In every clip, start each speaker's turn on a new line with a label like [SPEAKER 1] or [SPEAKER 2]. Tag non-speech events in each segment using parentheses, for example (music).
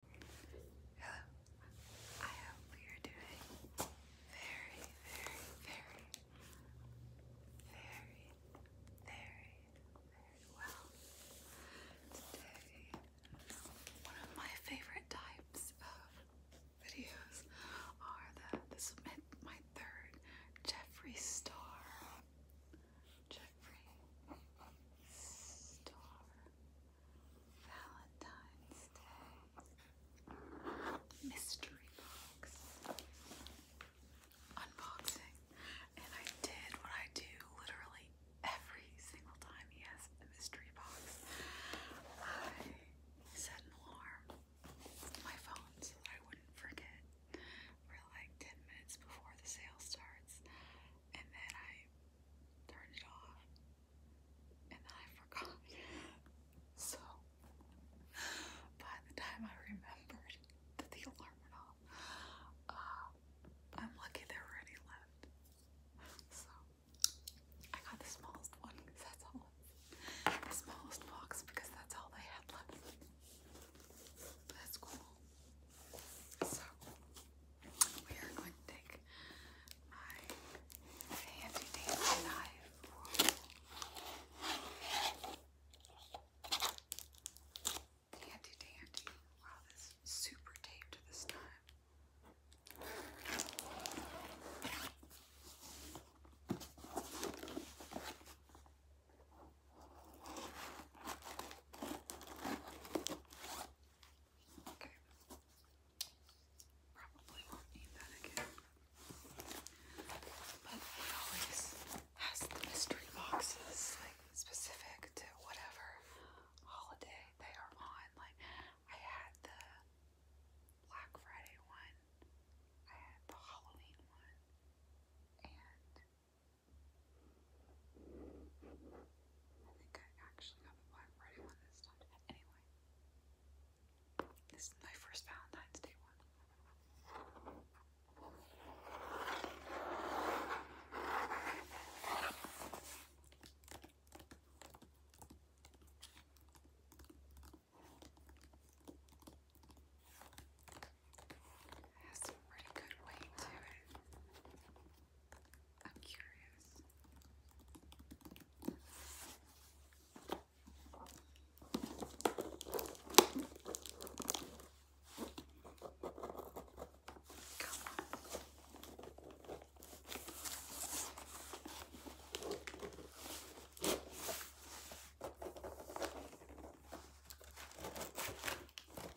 [SPEAKER 1] Hello. I hope you're doing very, very, very, very, very, very well. Today, one of my favorite types of videos are the this is my, my third Jeffree Star. Jeffree Star. Valentine's Day mystery box unboxing. And I did what I do literally every single time he mystery box. I set an alarm on my phone so that I wouldn't forget for like 10 minutes before the sale starts. And then I turned it off, and then I forgot. So, by the time I remembered that the alarm went off, uh, I'm lucky there were any left. So, I got the smallest one because that's all. The smallest box because that's all they had left. That's cool. So we are going to take my handy dandy knife. Handy dandy. Wow, this super taped this time. Okay. Probably won't need that again. But he always has the mystery boxes, like specific to whatever holiday they are on. Like I had the Black Friday one, I had the Halloween one, and I think I actually got the black Friday one this time. Anyway, this is my first Valentine's Day one. It has some pretty good weight to it. I'm curious. Come on.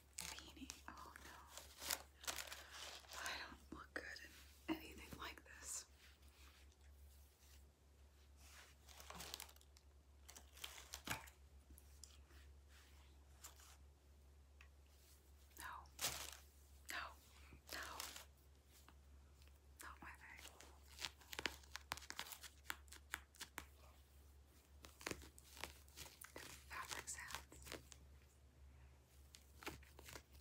[SPEAKER 1] beanie. Oh no. I don't look good in anything like this. No. No. No. Not my thing. Fabric sounds.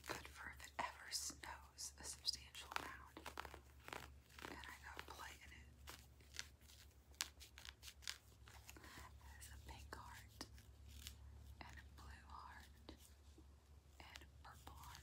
[SPEAKER 1] Good for if it ever snows a substantial amount. And I got play in it. There's a pink heart, and a blue heart, and a purple heart.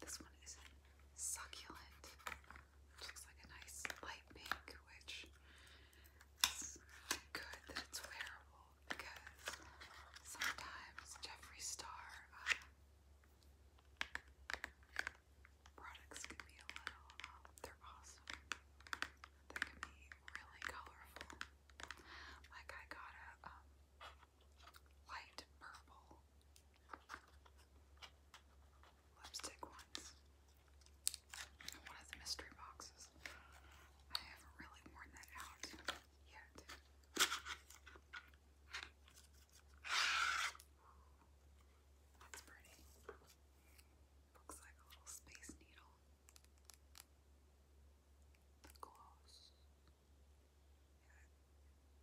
[SPEAKER 1] This one is succulent, which looks like a nice light pink, which is good that it's wearable because sometimes Jeffree Star uh, products can be a little, um, they're awesome. They can be really colorful. Like I got a um, light purple lipstick ones. One of the mystery boxes. I haven't really worn that out yet. That's pretty. Looks like a little space needle. The gloss. Yeah,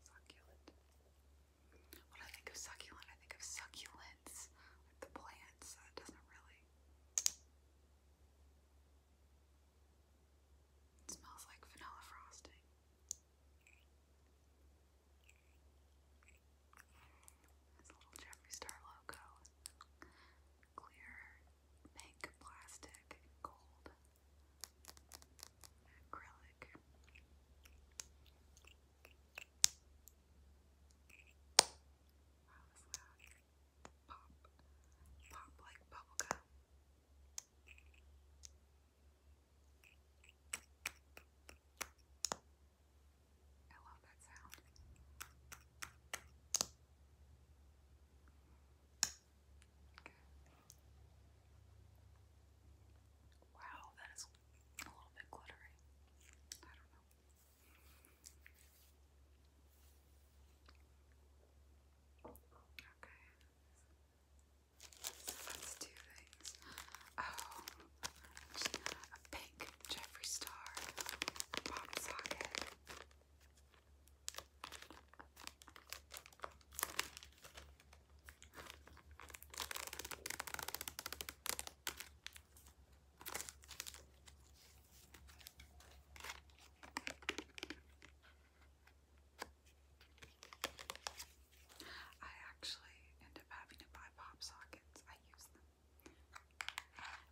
[SPEAKER 1] succulent. When I think of succulent, I think of succulents, like the plants. doesn't really. It smells like vanilla frosting. There's a little Jeffree Star logo. Clear pink plastic gold acrylic. Wow, Pop, pop like bubblegum. I love that sound. Good. Wow, that is a little bit glittery. I don't know. Okay. let's do things. Oh, a pink Jeffree Star pop socket. I actually end up having to buy pop sockets. I use them.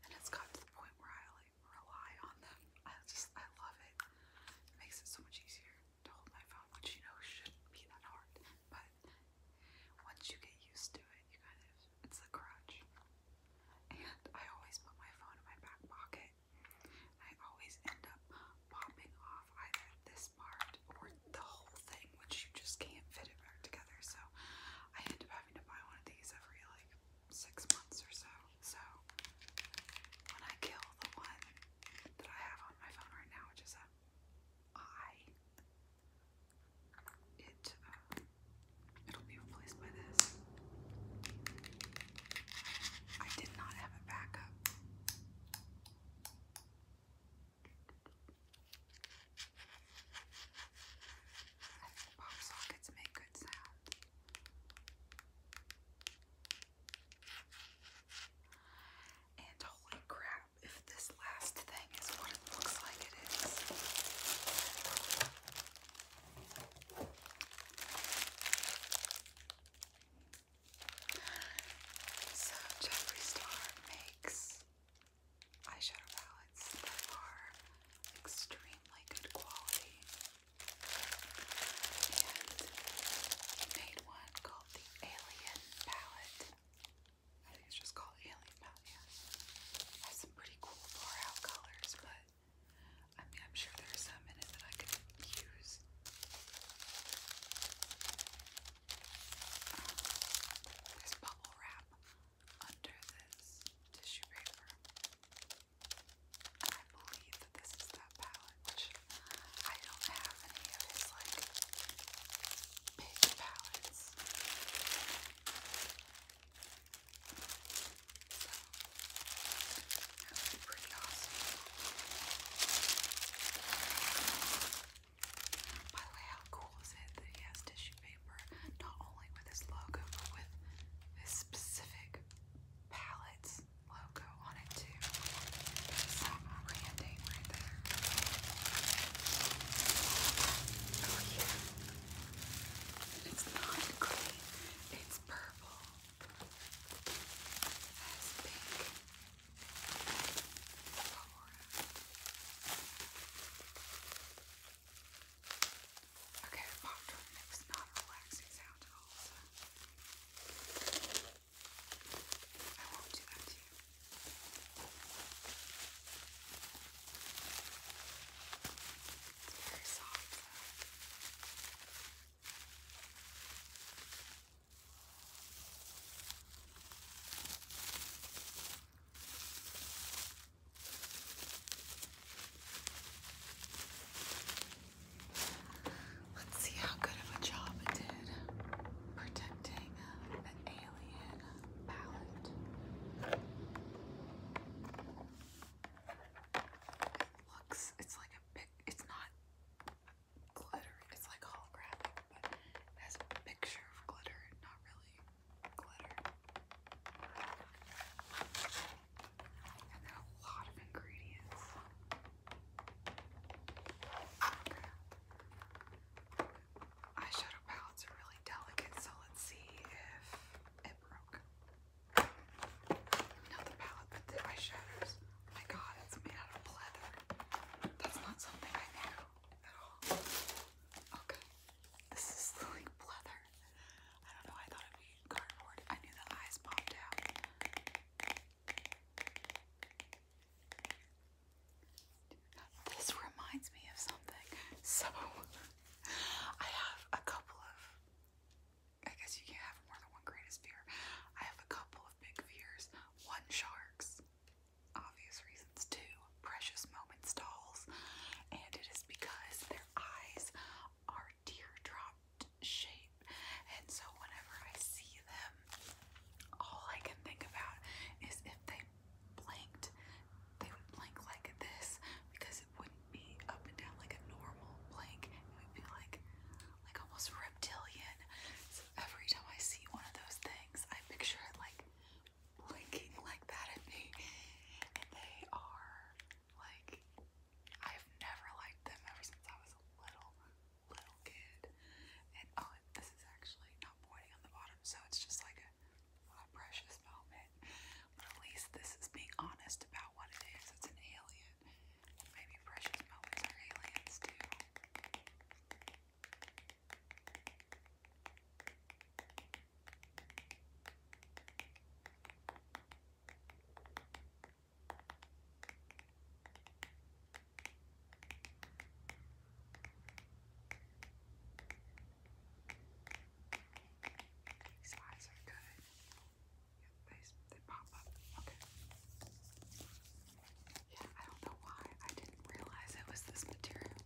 [SPEAKER 1] And it's gotten to the point where I like rely on them. I just I love it. It makes it so much easier to hold my phone, which you know shouldn't be that hard, but once you get used to it, you kind of, it's a crutch. And I always put my phone in my back pocket, I always end up popping off either this part or the whole thing, which you just can't fit it back together. So I end up having to buy one of these every like six months or so. So when I kill the one that I have on my phone right now, which is a It uh, it'll be replaced by this. I did not have a backup. I think pop sockets make good sound. And holy crap, if this last thing is what it looks like it is. So Jeffree Star makes eyeshadow palettes that are extremely good quality. And made one called the Alien Palette. I think it's just called Alien Palette, has some pretty cool far-out colors, but I mean, I'm sure there some in it that I could use. Um, there's bubble wrap under this tissue paper. I believe that this is that palette, I don't have any of his like big palettes. that would be pretty awesome. By the way, how cool is it that he has tissue paper not only with his logo but with his specific palettes? this logo on it too. Some branding right there. Oh yeah. It's not green. It's purple. It has Okay, the makes not relaxing sound at all, I won't do that to you. It's very soft. Though. Let's see how good of a job it did protecting uh, the alien palette. It looks, it's like a big, it's not glitter, it's like holographic, but it has a picture of glitter, not really glitter a lot of ingredients. Eyeshadow palettes are really delicate, so let's see if it broke. Not the palette, but the eyeshadows. my god, it's made out of leather. That's not something I knew at all. Okay. Oh, this is (laughs) like leather. I don't know, I thought it'd be cardboard. I knew the eyes popped out. This reminds me of something. So, (laughs) I have a couple of. I guess you can't have more than one greatest fear. I have a couple of big fears. One, sharks. Obvious reasons. Two, precious moments dolls. And it is because their eyes are are teardropped And so whenever I see them, all I can think about is if they blinked, they would blink like this because it wouldn't be up and down like a normal blink. It would be like like almost reptilian. So every time I see one of those things, I picture it like blinking like that at me. And they are like I've never liked them ever since I was a little, little kid. And oh, this is actually not pointing on the bottom, so it's just like a, precious moment. But at least this is being honest about what it is. It's an alien. Maybe precious moments are aliens too. These eyes are good. Yeah, they, they pop up. Okay. Yeah, I don't know why. I didn't realize it was this material.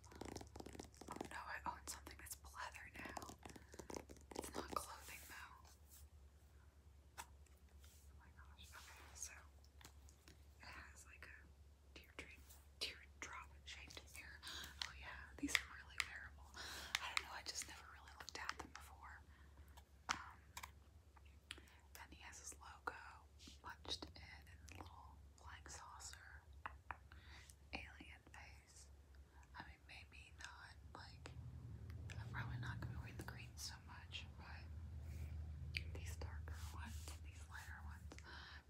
[SPEAKER 1] Oh no, I own something that's pleather now. It's not clothing though. Oh my gosh. Okay, so it has like a teardrop teardrop shaped mirror. Oh yeah, these are really wearable. I don't know, I just never really looked at them before. then he has his logo punched in and little flying saucer. Alien face. I mean, maybe not, like, I'm probably not going to wear the green so much, but these darker ones these lighter ones,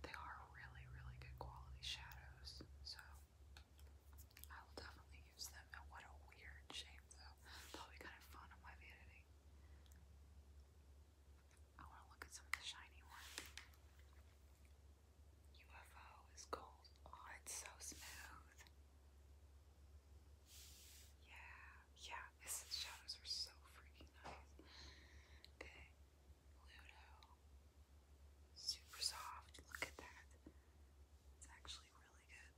[SPEAKER 1] they are really, really good quality shadows, so I will definitely use them. And what a weird shape, though. that kind of fun on my vanity. I want to look at some of the shiny ones. UFO is gold. Oh, it's so smooth. Yeah, yeah, this shadows are so freaking nice. The Ludo, super soft. Look at that. It's actually really good.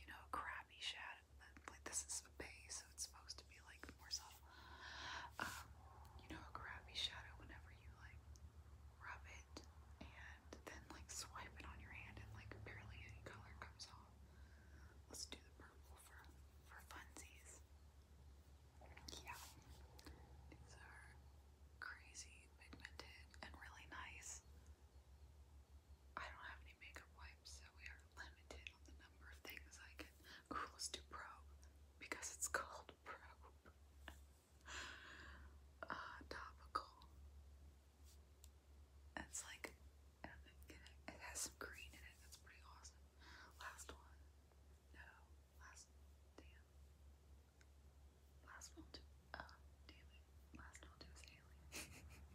[SPEAKER 1] You know, crappy shadow. but Like this is a base, so it's supposed to be like more subtle. Um, you know, crappy shadow whenever you like rub it and and then like swipe it on your hand and like barely any color comes off. Let's do the purple for for funsies. Yeah. These are crazy pigmented and really nice. I don't have any makeup wipes, so we are limited on the number of things I can. let's do probe because it's called probe. (laughs) uh, topical. It's like, it has some green in it. That's pretty awesome. Last one. No, last, damn. Last one to, uh, damn it. Last one to is (laughs) alien.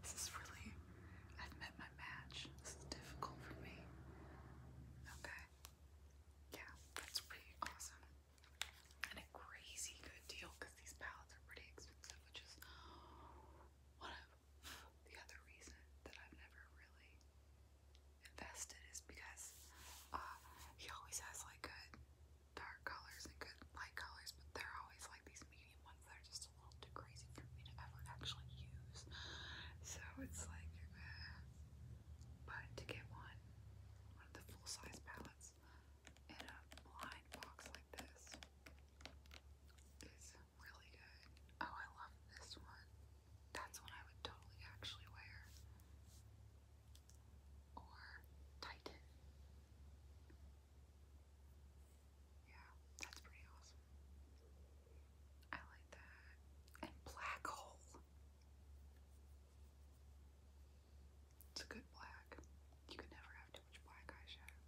[SPEAKER 1] this is really, I've met my match. This is difficult for me. Okay. Yeah, that's pretty awesome and a crazy good deal because these palettes are pretty expensive, which is one of the other reason that I've never really invested is because uh, he always has like good dark colors and good light colors, but they're always like these medium ones that are just a little too crazy for me to ever actually use. So it's like. Uh, but to get one, one of the full-size palettes in a blind box like this is really good. Oh, I love this one. That's one I would totally actually wear. Or Titan. Yeah, that's pretty awesome. I like that. And Black Hole. It's a good black. You can never have too much black eyeshadow.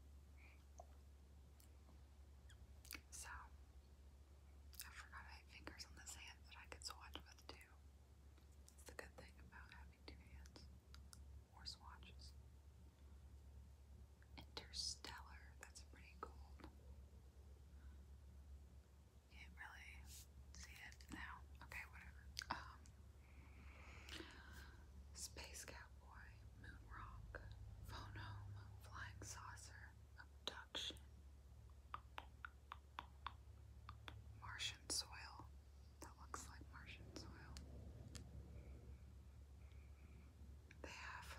[SPEAKER 1] So, I forgot I fingers on this hand that I could swatch with too. It's the good thing about having two hands or swatches. Interstellar, that's pretty cool. Can't really see it now. Okay, whatever. Um, Space Cowboy, Moon Rock, Phonome, Flying Saucer, Abduction, Martian Soil. That looks like Martian Soil. They have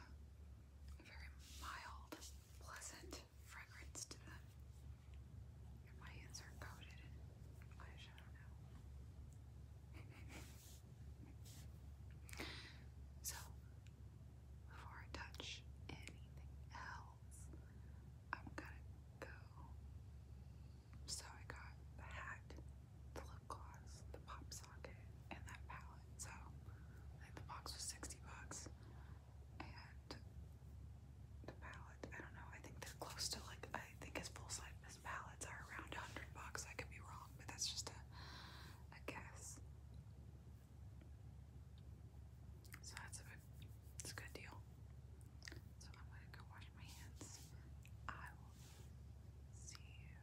[SPEAKER 1] very mild pleasant fragrance to them. my hands are coated in gosh, I don't know. so, before I touch anything else, I'm gonna go. So, I got the hat, the lip gloss, the pop socket, and that palette. So, I think the box was 60 bucks and the palette, I don't know, I think they're close to like, I think his full-size palettes are around 100 bucks, I could be wrong, but that's just a, a guess. So that's a, bit, a good deal. So I'm gonna go wash my hands. I will see you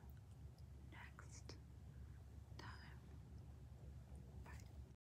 [SPEAKER 1] next time. Bye.